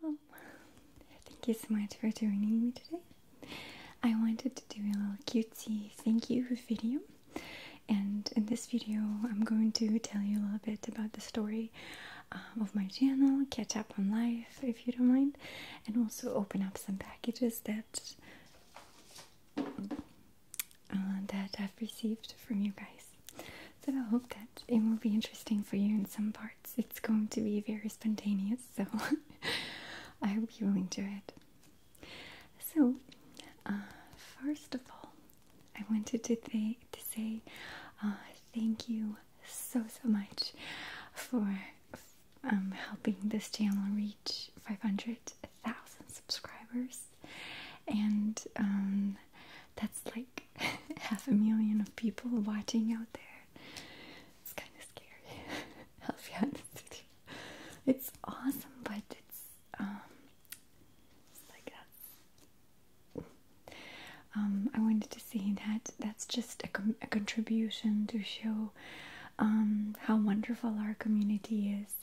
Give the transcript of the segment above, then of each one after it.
Hello. Um, thank you so much for joining me today. I wanted to do a little cutesy thank you video. And in this video, I'm going to tell you a little bit about the story um, of my channel, catch up on life if you don't mind, and also open up some packages that uh, that I've received from you guys. So I hope that it will be interesting for you in some parts. It's going to be very spontaneous, so I hope you will enjoy it. So, uh, first of all, I wanted to, th to say uh, thank you so so much for um, helping this channel reach 500,000 subscribers and um, that's like half a million of people watching out there. It's kind of scary. I'll be It's awesome, but it's um, like that. Um, I wanted to say that that's just a, contribution to show um, how wonderful our community is,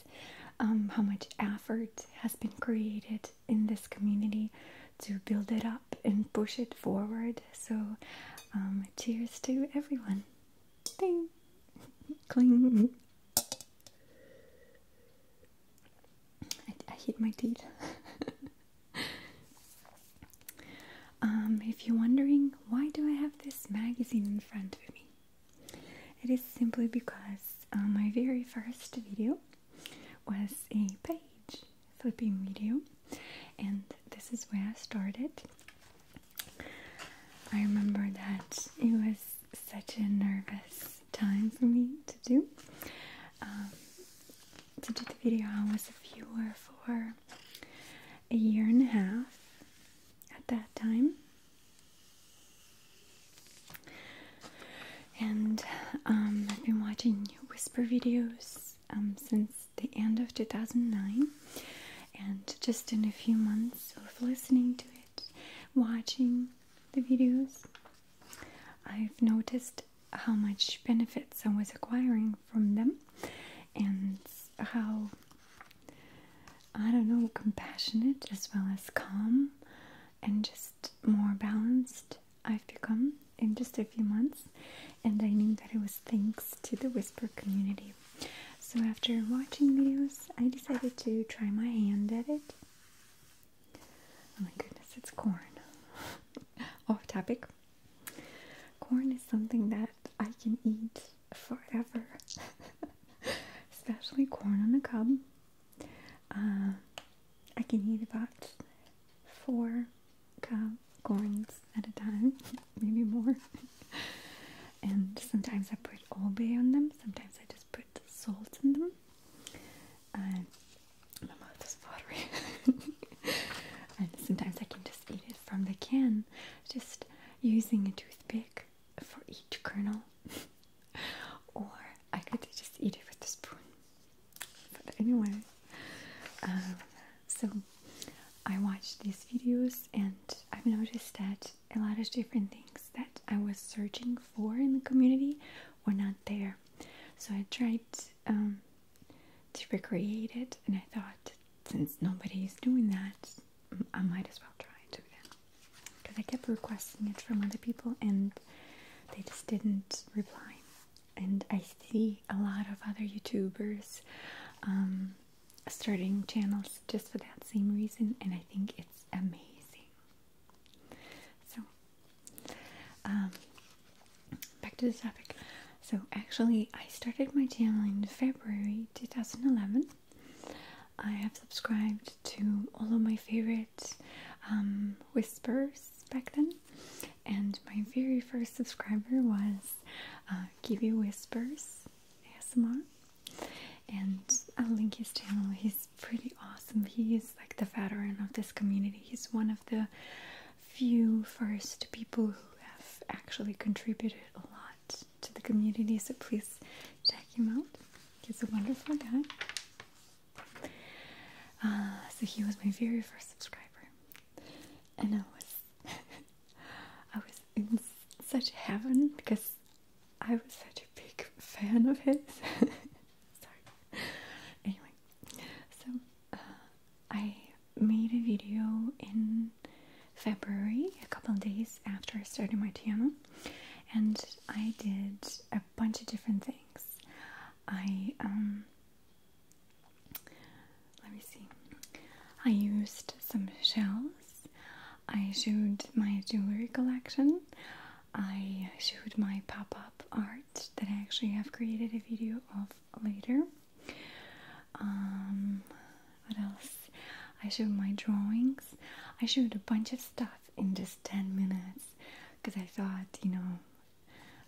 how much effort has been created in this community to build it up and push it forward. So, um, cheers to everyone. Ding, cling. I, hit my teeth. um, if you're wondering why do I have this magazine in front of me, it is simply because uh, my very first video was a page flipping video, and this is where I started. I remember that it was such a nervous time for me to do. Um, to do the video, I was a viewer for a year and a half at that time. And um, I've been watching whisper videos um, since the end of 2009, and just in a few months of listening to it, watching the videos, I've noticed how much benefits I was acquiring from them and how I don't know compassionate as well as calm and just more balanced I've become in just a few months, and I knew that it was thanks to the Whisper community. So, after watching videos, I decided to try my hand at it. Oh my goodness, it's corn. Off topic. Corn is something that I can eat forever, especially corn on the cob. Uh, I can eat about four corns at a time, maybe more. and sometimes I put obe on them, sometimes I just put salt in them. my mouth is watery. and sometimes I can just eat it from the can, just using a toothpick for each kernel. or I could just eat it with a spoon. But anyway, um, so I watched these videos and i noticed that a lot of different things that I was searching for in the community were not there. So I tried um, to recreate it and I thought, since nobody is doing that, I might as well try it do Because I kept requesting it from other people and they just didn't reply and I see a lot of other YouTubers um, starting channels just for that same reason, and I think it's amazing. So, um, back to this topic. So, actually, I started my channel in February 2011. I have subscribed to all of my favorite um, whispers back then, and my very first subscriber was Give uh, Kiwi Whispers ASMR, and I'll link his channel. He's pretty awesome. He's like the veteran of this community. He's one of the few first people who have actually contributed a lot to the community. So please check him out. He's a wonderful guy. Uh, so he was my very first subscriber, and I was I was in such heaven because I was such a big fan of his. Sorry. Anyway, so uh, I made a video in February, a couple of days after I started my channel, and I did a bunch of different things. I um, let me see. I used some shells. I showed my jewelry collection. I showed my pop up art that I actually have created a video of later. Um, what else? I showed my drawings. I showed a bunch of stuff in just 10 minutes because I thought, you know,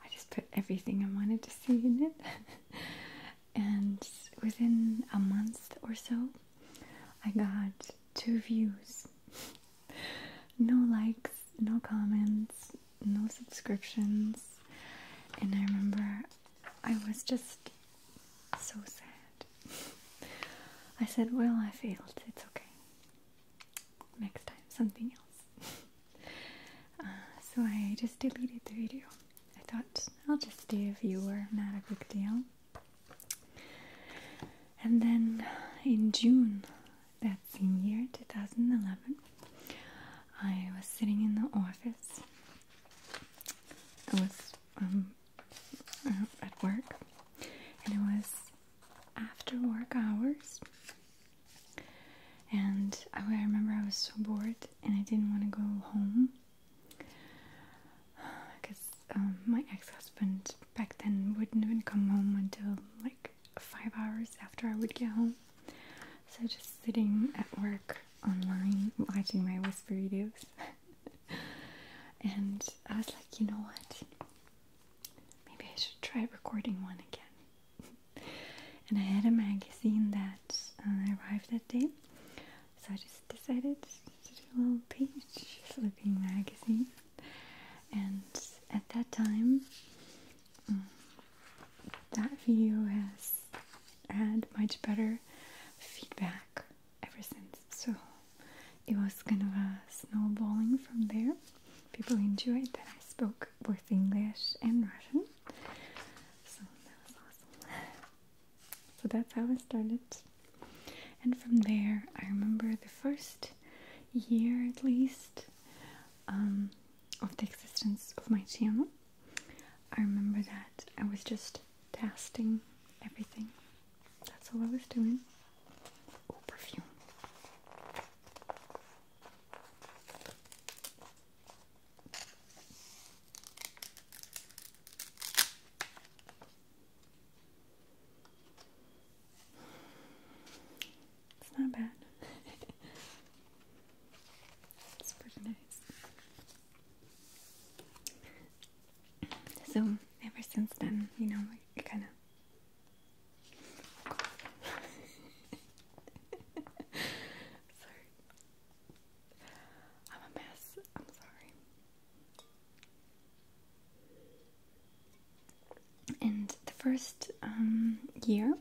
I just put everything I wanted to see in it. and within a month or so, I got two views. no likes, no comments, no subscriptions. And I remember I was just so sad. I said, Well, I failed. It's okay next time something else. Uh, so I just deleted the video. I thought I'll just stay a viewer, not a big deal. And then in June that same year, 2011, I was sitting in the office. I was um, uh, at work, and it was after work hours, and I remember I was so bored and I didn't want to go home because um, my ex husband back then wouldn't even come home until like five hours after I would get home. So just sitting at work online watching my whisper videos. and I was like, you know what? Maybe I should try recording one again. and I had a magazine that um, arrived that day, so I just decided to do a little page flipping magazine. And at that time, um, that video has had much better feedback ever since, so it was kind of a snowballing from there people enjoyed that I spoke both English and Russian. So that was awesome. So that's how I started. And from there, I remember the first year at least um, of the existence of my channel. I remember that I was just testing everything. That's all I was doing. Oh, perfume. It's not bad. it's pretty nice. So ever since then, you know, I kind of sorry. I'm a mess. I'm sorry. And the first um, year,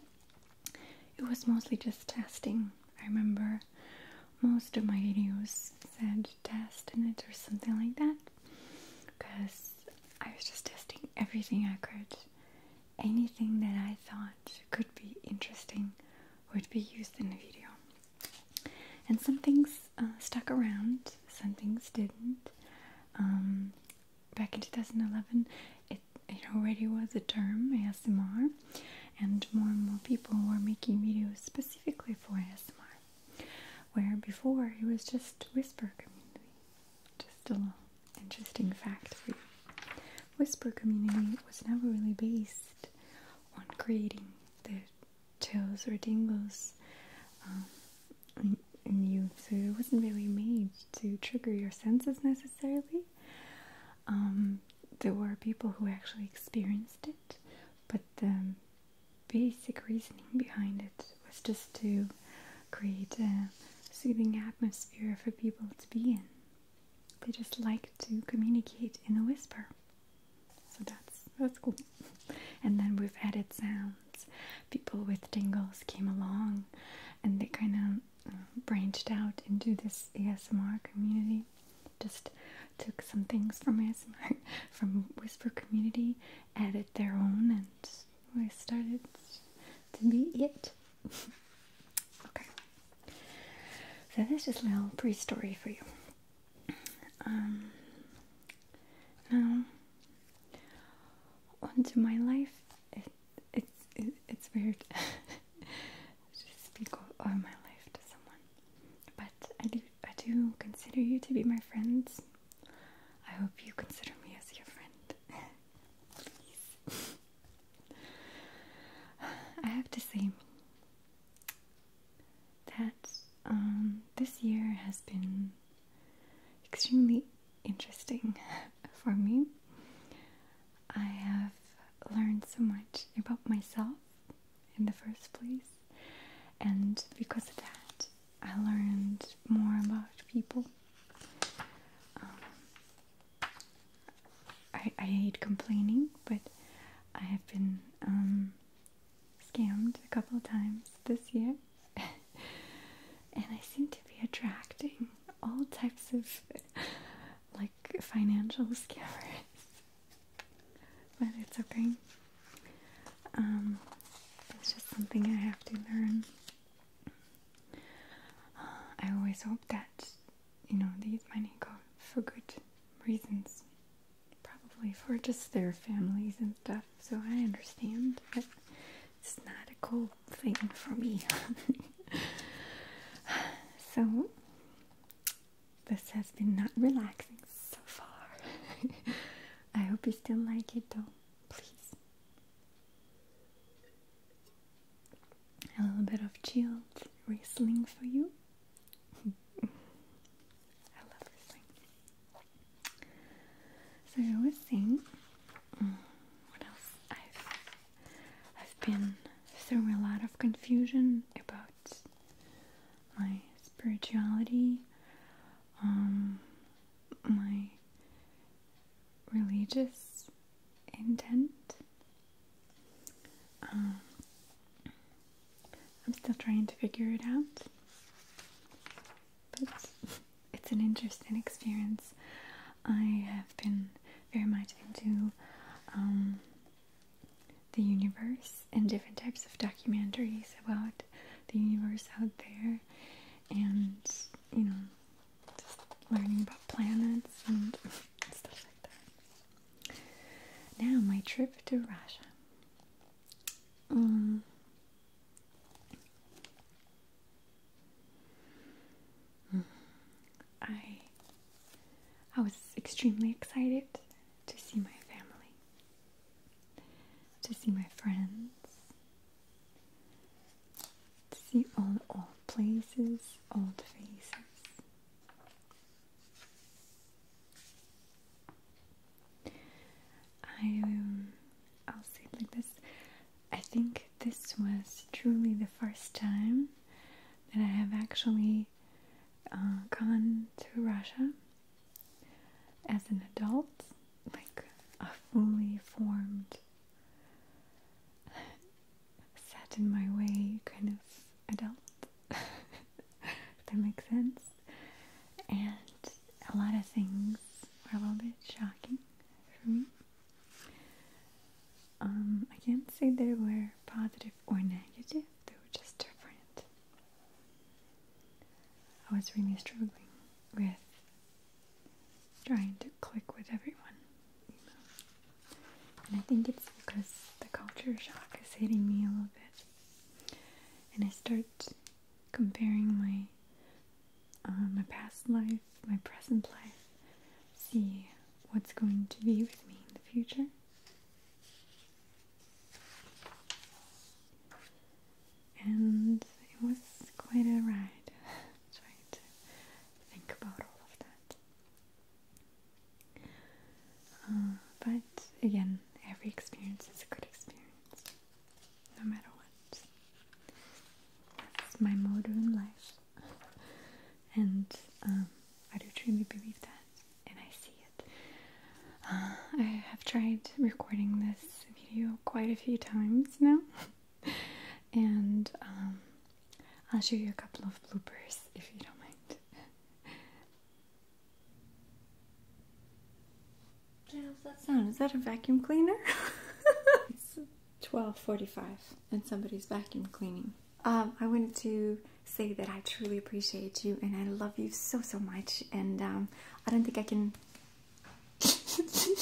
it was mostly just testing. I remember most of my videos said test in it or something like that because I was just testing everything I could anything that I thought could be interesting would be used in the video. And some things uh, stuck around, some things didn't. Um, back in 2011, it, it already was a term, ASMR, and more and more people were making videos specifically for ASMR, where before it was just whisper community. Just a little interesting fact for you. Whisper community was never really based on creating the chills or tingles in, um, you, so it wasn't really made to trigger your senses necessarily. Um, there were people who actually experienced it, but the basic reasoning behind it was just to create a soothing atmosphere for people to be in. They just like to communicate in a whisper. So that's that's cool. And then we've added sounds. People with tingles came along and they kind of uh, branched out into this ASMR community. Just took some things from ASMR, from whisper community, added their own, and we started to meet. it okay. So this is a little pre-story for you. Um, now, onto my life. It, it's weird to speak of my life to someone, but I do I do consider you to be my friends. I hope you consider me as your friend. I have to say that um, this year has been extremely interesting for me. I have learned so much about myself in the first place, and because of that, I learned more about people. Um, I, I hate complaining, but I have been um, scammed a couple of times this year, and I seem to be attracting all types of like financial scammers. But it's okay. Um, it's just something I have to learn. I always hope that you know they use my for good reasons, probably for just their families and stuff. So I understand, but it's not a cool thing for me. so this has been not relaxing so far. I hope you still like it though. Please a little bit of chilled wrestling for you. I love Riesling. So I was saying, mm, what else? I've I've been through a lot of confusion about my spirituality, um, my religious intent. Um, I'm still trying to figure it out, but it's an interesting experience. I have been very much into um, the universe and different types of documentaries about the universe out there, and you know, just learning about planets and stuff like that. Now, my trip to Russia. Um, I I was extremely excited to see my family, to see my friends, See all old places, old faces. I will um, say it like this. I think this was truly the first time that I have actually uh, gone to Russia as an adult, like a fully formed set in my way kind of adult. if that makes sense. And a lot of things were a little bit shocking for me. Um, I can't say they were positive or negative, they were just different. I was really struggling with trying to click with everyone. And I think it's because the culture shock is hitting me a little bit. And I start comparing my uh, my past life, my present life, see what's going to be with me in the future. And it was quite a ride think about all of that. Uh, but again, every experience is a good experience, no matter what. That's my motto in life, and um, I do truly believe that, and I see it. Uh, I have tried recording this video quite a few times now. and um, I'll show you a couple of bloopers if you don't mind. What does that sound? Is that a vacuum cleaner? it's 12:45, and somebody's vacuum cleaning. Um, I wanted to say that I truly appreciate you, and I love you so so much. And um, I don't think I can.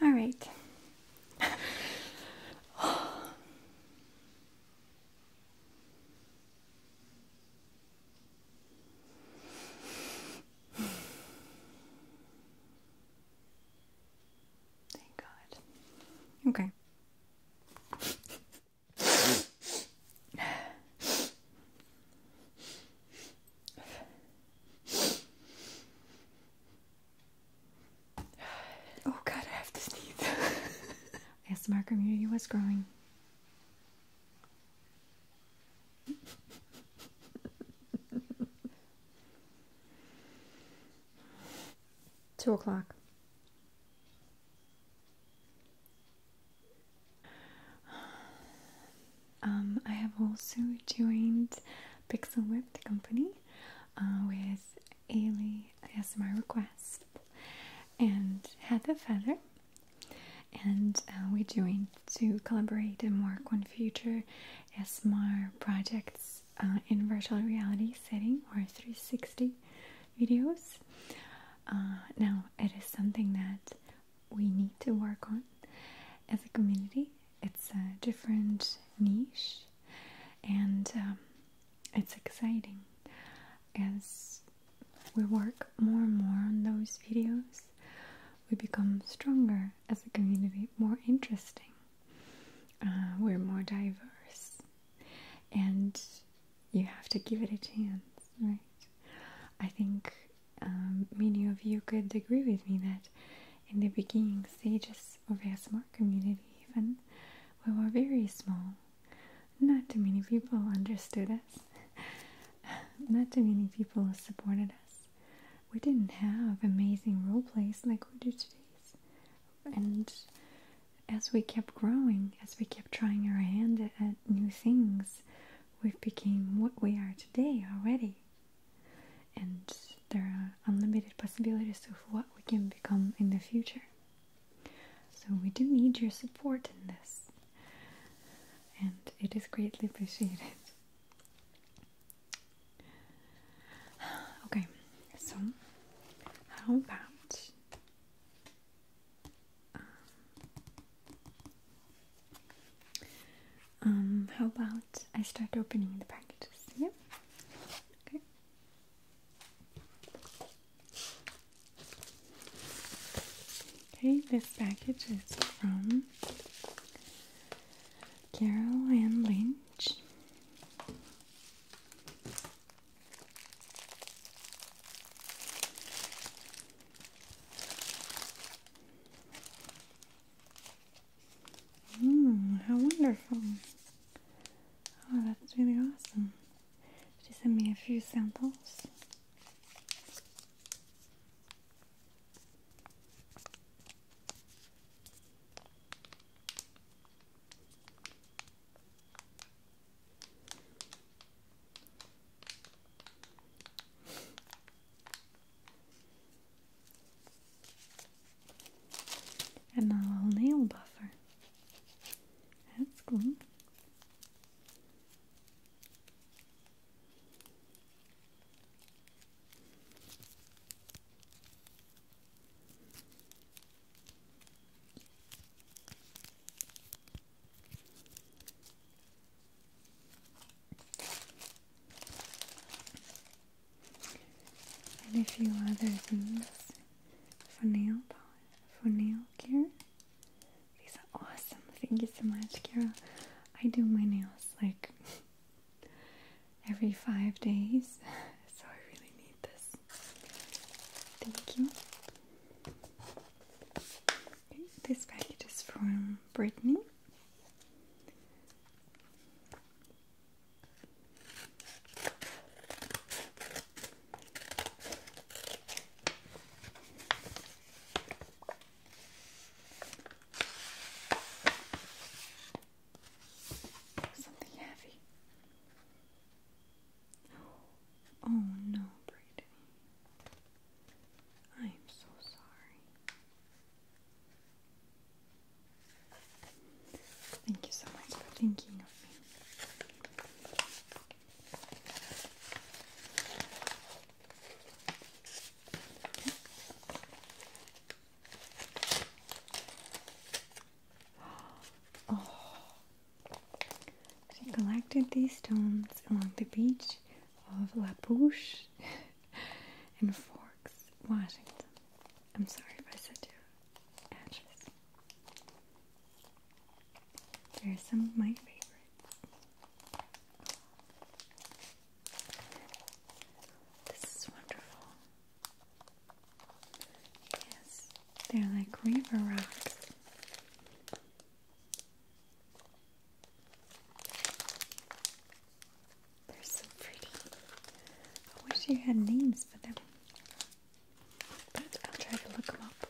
All right. Thank God. Okay. Oh god, I have to sneeze. ASMR community was growing. Two o'clock. Um, I have also joined Pixel Whip, company, uh, with Ailey ASMR Request and Heather Feather, and uh, we're doing to collaborate and work on future ASMR projects uh, in virtual reality setting or 360 videos. Uh, now, it is something that we need to work on as a community. It's a different niche and um, it's exciting as we work more and more on those videos. We become stronger as a community, more interesting. Uh, we're more diverse and you have to give it a chance, right? I think um, many of you could agree with me that in the beginning stages of ASMR community, even we were very small. Not too many people understood us. Not too many people supported us. We didn't have amazing role plays like we do today and as we kept growing, as we kept trying our hand at, new things, we've become what we are today already. And there are unlimited possibilities of what we can become in the future. So we do need your support in this. And it is greatly appreciated. Okay, so how about um, how about I start opening the packages? Yeah. Okay. Okay, this package is from Carol and Lynch. Hmm, how wonderful. Oh, that's really awesome. She sent me a few samples. And a little nail buffer. That's cool and a few other things for nail polish, for nail care. These are awesome. Thank you so much, Kira. I do my nails like every five days, so I really need this. Thank you. this package is from Brittany. Something heavy. Oh no, Brittany. I am so sorry. Thank you so much for thinking of me. Oh, she collected these stones along the beach of La Pouche in Forks, Washington. I'm sorry if I said your address. There are some of my favorites. This is wonderful. Yes, they're like river rocks. They're so pretty. I wish you had names for them. But I'll try to look them up.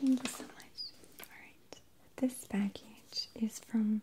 Thank you so much. Alright, this package is from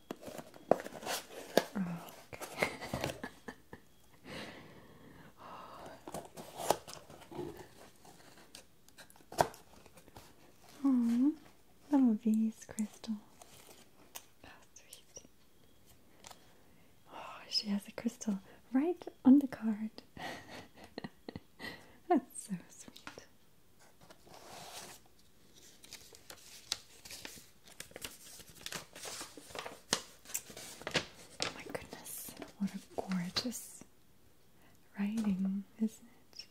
oh, some of these Oh, she has a crystal right on the card. That's so sweet. Oh my goodness, what a gorgeous writing, isn't it?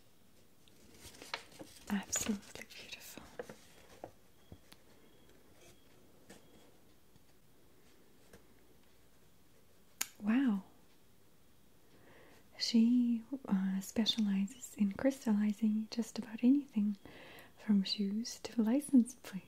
Absolutely beautiful. Wow. She uh, specializes in crystallizing just about anything from shoes to license plates.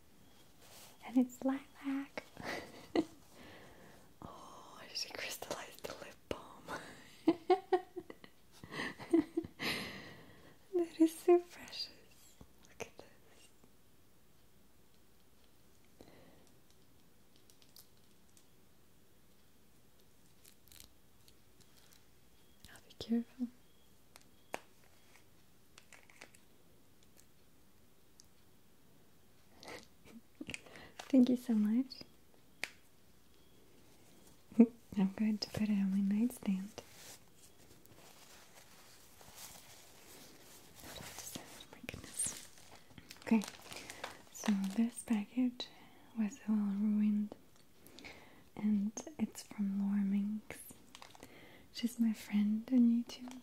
and it's lilac. oh, she crystallized the lip balm. that is so precious. Look at this. I'll be careful. Thank you so much. I'm going to put it on my nightstand. Oh my goodness. Okay, so this package was all ruined, and it's from Lorming. She's my friend on YouTube,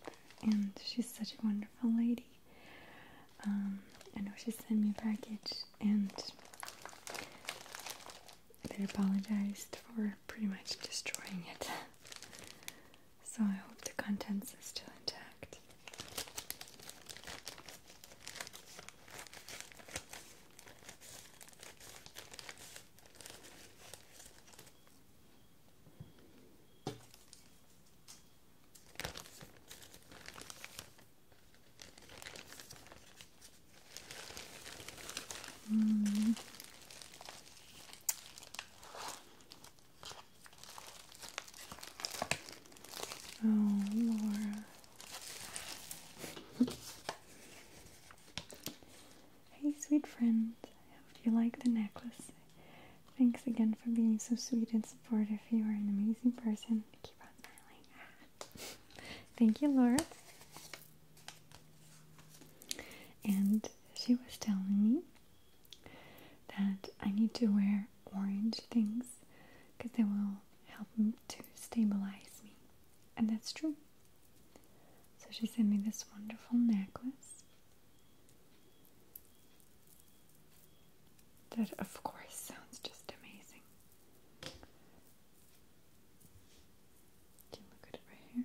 and she's such a wonderful lady. Um, I know she sent me a package, and they apologized for pretty much destroying it. so I hope the contents are still intact. Mm. Oh, Laura. Hey, sweet friend, I hope you like the necklace. Thanks again for being so sweet and supportive. You are an amazing person. Keep on smiling. Thank you, Laura. And she was telling me that I need to wear orange things because they will help to stabilize me. And that's true. So she sent me this wonderful necklace that, of course, sounds just amazing. Can you look at it right here?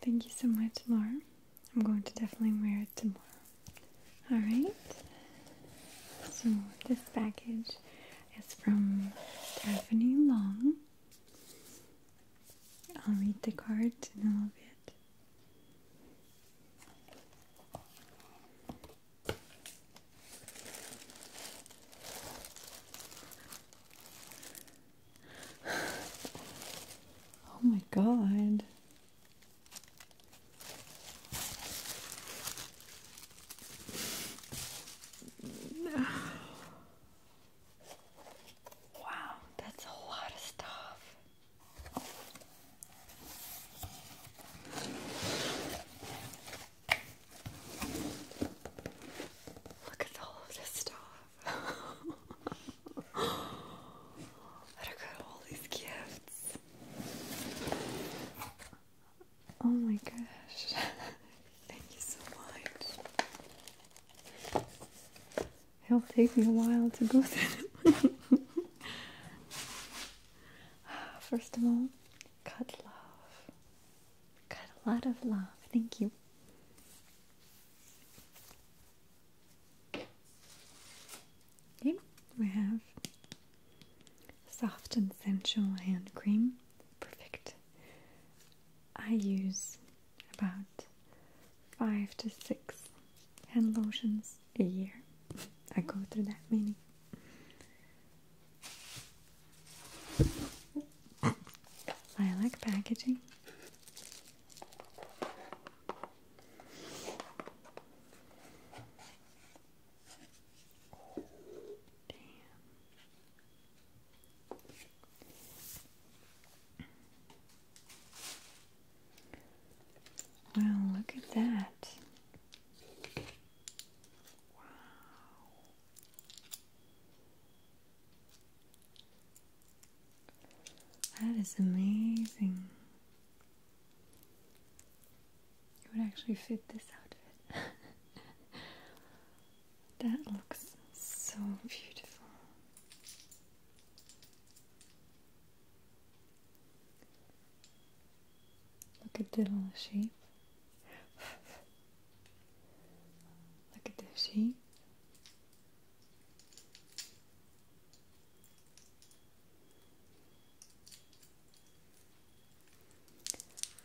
Thank you so much, Laura. I'm going to definitely wear it tomorrow. Alright, so this package is from Stephanie Long. I'll read the card in a little bit oh my god. Wow, that's a lot of stuff. Look at all of this stuff. Look at all these gifts. Oh my gosh. Thank you so much. It'll take me a while to go through. First of all, got love. got a lot of love. Thank you. Okay, we have soft and sensual hand cream. Perfect. I use about five to six hand lotions a year. I go through that many. I like packaging. Wow, look at that. Wow. That is amazing. It would actually fit this outfit. that looks so beautiful. Look at this little sheep. Look at the sheep.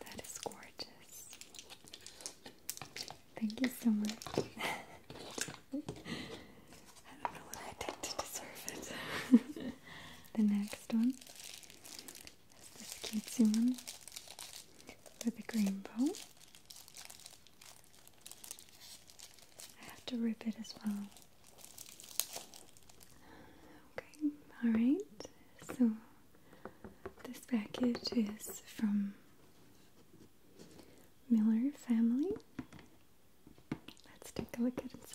That is gorgeous. Thank you so much. I don't know what I did to deserve it. the next one this cutesy one with a green bow. I have to rip it as well. Okay, alright. So this package is from Miller Family. Let's take a look at inside.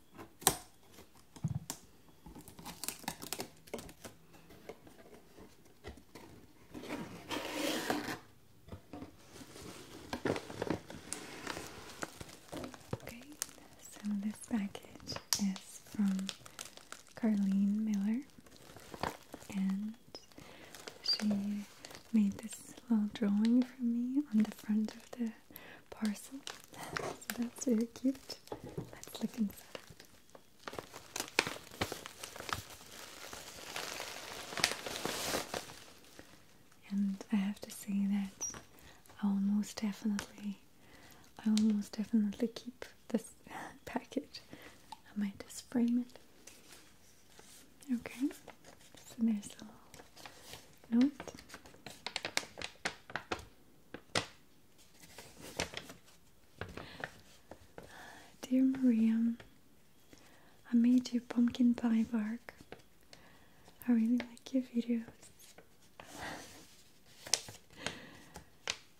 Okay, so this package is from Carlene Miller, and she made this little drawing for me on the front of the parcel that's very cute. Let's look inside. And I have to say that I will definitely, I almost definitely keep this package. I might just frame it. Okay, so there's a little note. Dear Maria, I made you pumpkin pie bark. I really like your videos.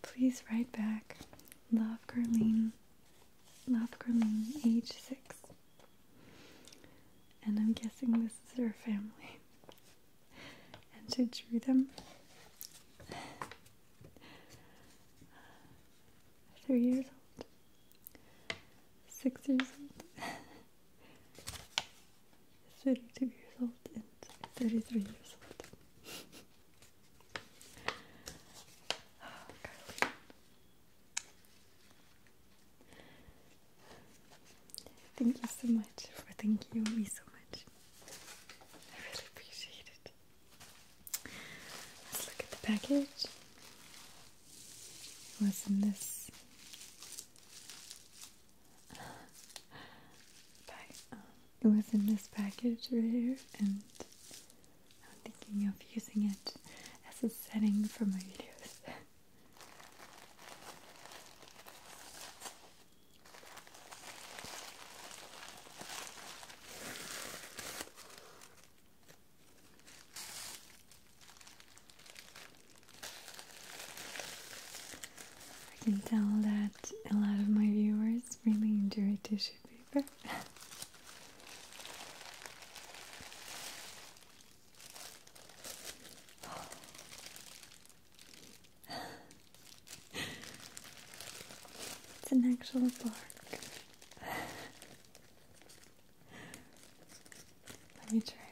Please write back. Love Carlene. Love Carlene, age six. And I'm guessing this is her family and she drew them three years old, six years old, 32 years old, and 33 years old. Oh, Thank you so much for thanking me so much. I really appreciate it. Let's look at the package. What's in this? was um, in this package right here, and I'm thinking of using it as a setting for my videos. I can tell that a lot of my viewers really enjoy tissue paper. it's an actual bark. Let me try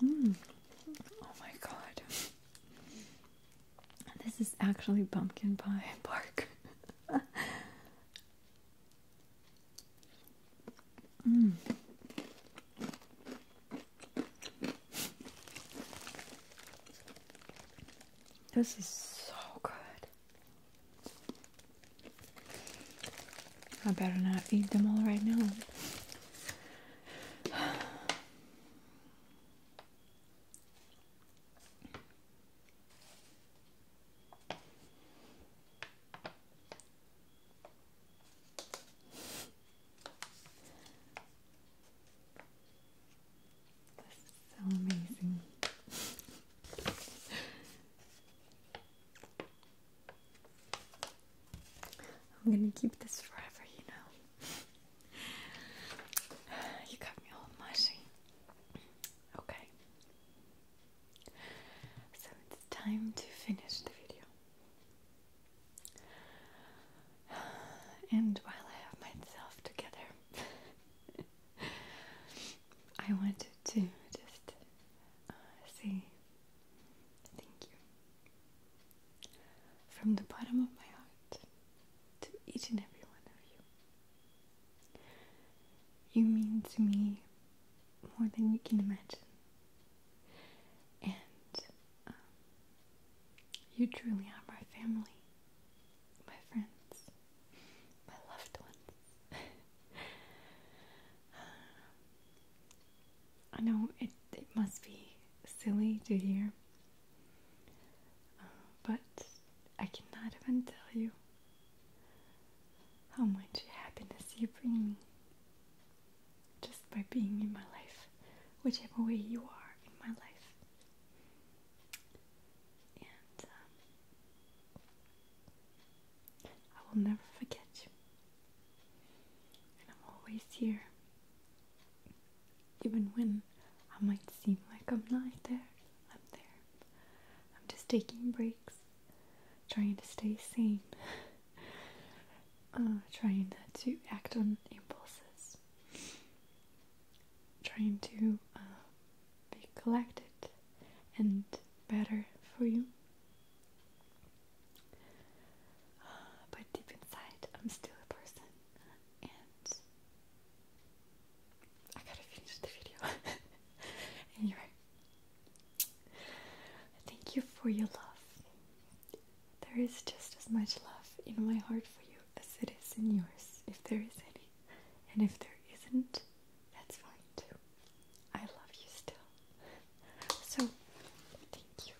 one. Mm. Oh my god. This is actually pumpkin pie bark. Mm. This is so good. I better not eat them all right now. This is so amazing. I'm gonna keep this forever, you know. you got me all mushy. Okay. So it's time to finish the video. And while I have myself together, I wanted to just uh, say thank you from the bottom of my heart to each and every one of you. You mean to me more than you can imagine. And um, you truly are my family, my friends, my loved ones. Um, I know it, it must be silly to hear, but I cannot even tell you how much happiness you bring me just by being in my life, whichever way you are in my life. And um, I will never forget you. And I'm always here even when I might seem like I'm not there, I'm there. I'm just taking breaks, trying to stay sane, uh, trying not to act on impulses, trying to uh, be collected and better for you. But deep inside, I'm still a person and I gotta finish the video. anyway, thank you for your love. There is just as much love in my heart for you as it is in yours, if there is any. And if there isn't, that's fine too. I love you still. So, thank you.